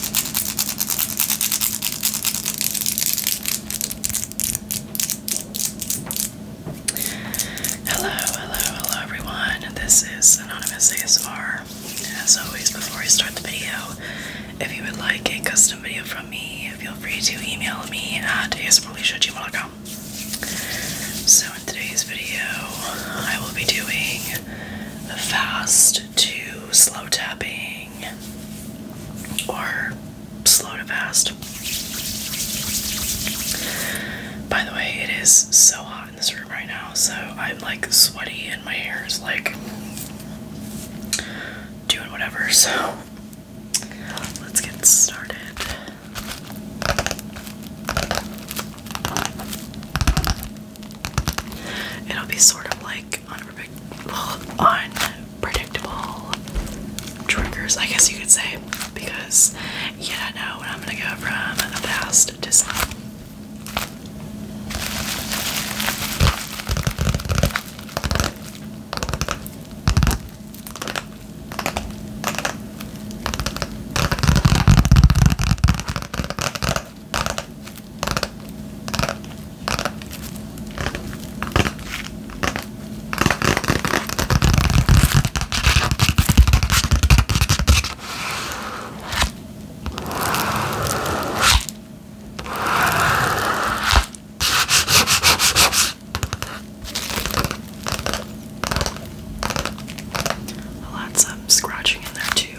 Hello, hello, hello everyone. This is Anonymous ASMR. As always, before I start the video, if you would like a custom video from me, feel free to email me at asmrleisha.gmail.com. So in today's video, I will be doing fast to slow tapping or slow to fast. By the way, it is so hot in this room right now, so I'm like sweaty and my hair is like doing whatever. So let's get started. It'll be sort of like unpredictable triggers, I guess you could say, because you do know when I'm gonna go from fast to slow. I'll add scratching in there too.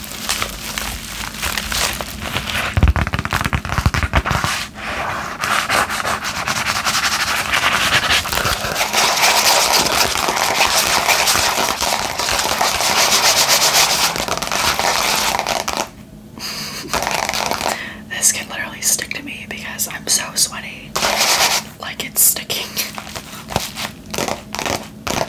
this can literally stick to me because I'm so sweaty. Like it's sticking.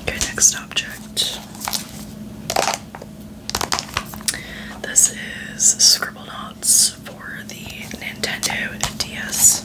Okay, next object. This is Scribble notes for the Nintendo DS.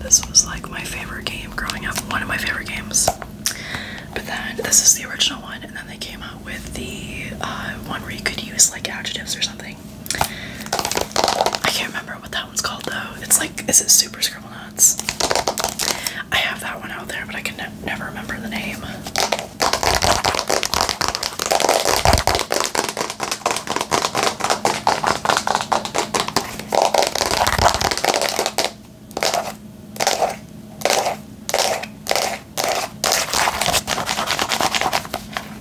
This was like my favorite game growing up, one of my favorite games. But then this is the original one, and then they came out with the uh, one where you could use like adjectives or something. I can't remember what that one's called though. It's like, is it Super Scribble Nuts? I have that one out there, but I can never remember the name.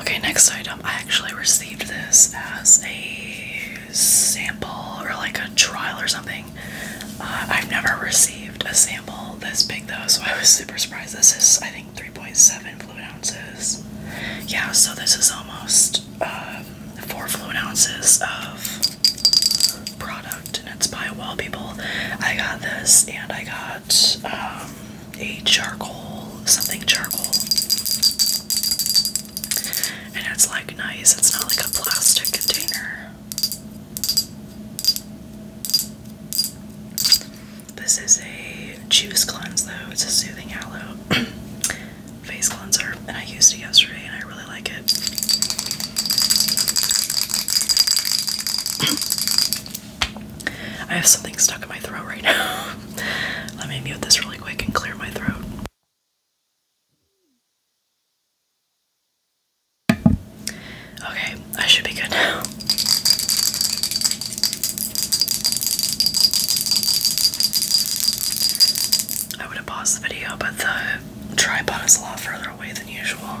Okay, next item. I actually received this as a sample or like a trial or something. Uh, I've never received a sample this big though, so I was super surprised. This is, I think, 3.7 fluid ounces. Yeah, so this is almost um, 4 fluid ounces of product, and it's by Wall People. I got this and I got um, a charcoal, something charcoal. And it's like nice, it's not like a plastic container. This is a juice cleanse, though, it's a soothing aloe face cleanser, and I used it yesterday and I really like it. I have something stuck in my throat right now. Let me mute this really quick and clear my throat. Okay, I should be good now. I would have paused the video, but the tripod is a lot further away than usual.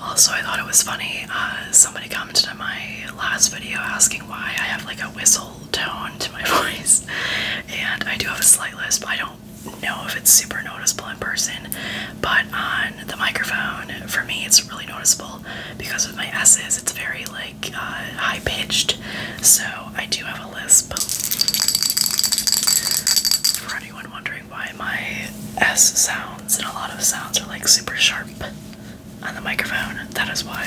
Also, I thought it was funny. Uh, somebody commented on my last video asking why I have like a whistle tone to my voice, and I do have a slight lisp. I don't know if it's super noticeable in person, but on the microphone, for me, it's really noticeable because of my S's, it's very like uh, high pitched, so I do have a lisp. For anyone wondering why my S sounds and a lot of sounds are like super sharp on the microphone, that is why.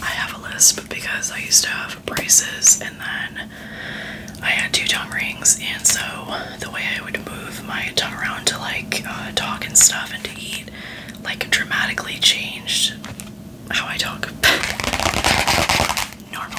I have a lisp because I used to have braces and then I had two tongue rings, and so the way I would move my tongue around to like uh, talk and stuff and to eat like dramatically changed how I talk normally.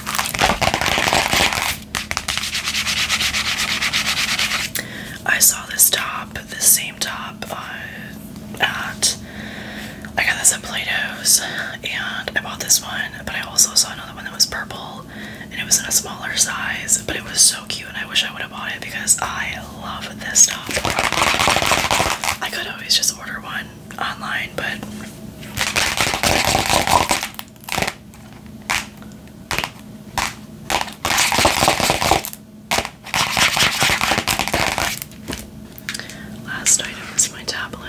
I saw this top, this same top, uh, at I got this at Play-Doh's, and I bought this one, but I also saw another one that was purple, and it was in a smaller size, but it was so cute, and I wish I would have bought it because I love this top. I could always just order one online, but last item is my tablet.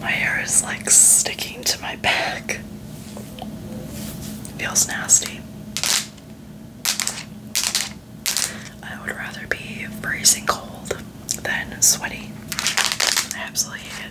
My hair is like sticking to my back. Feels nasty. I would rather be freezing cold than sweaty. absolutely hate it.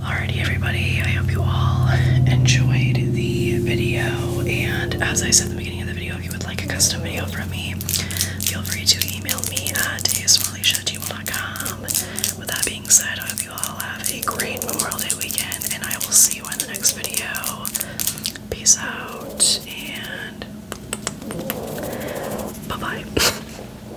Alrighty, everybody, I hope you all enjoyed the video. And as I said at the beginning of the video, if you would like a custom video from me, feel free to email me at asmallysha.gmail.com. With that being said, I hope you all have a great Memorial Day weekend, and I will see you in the next video. Peace out, and bye bye.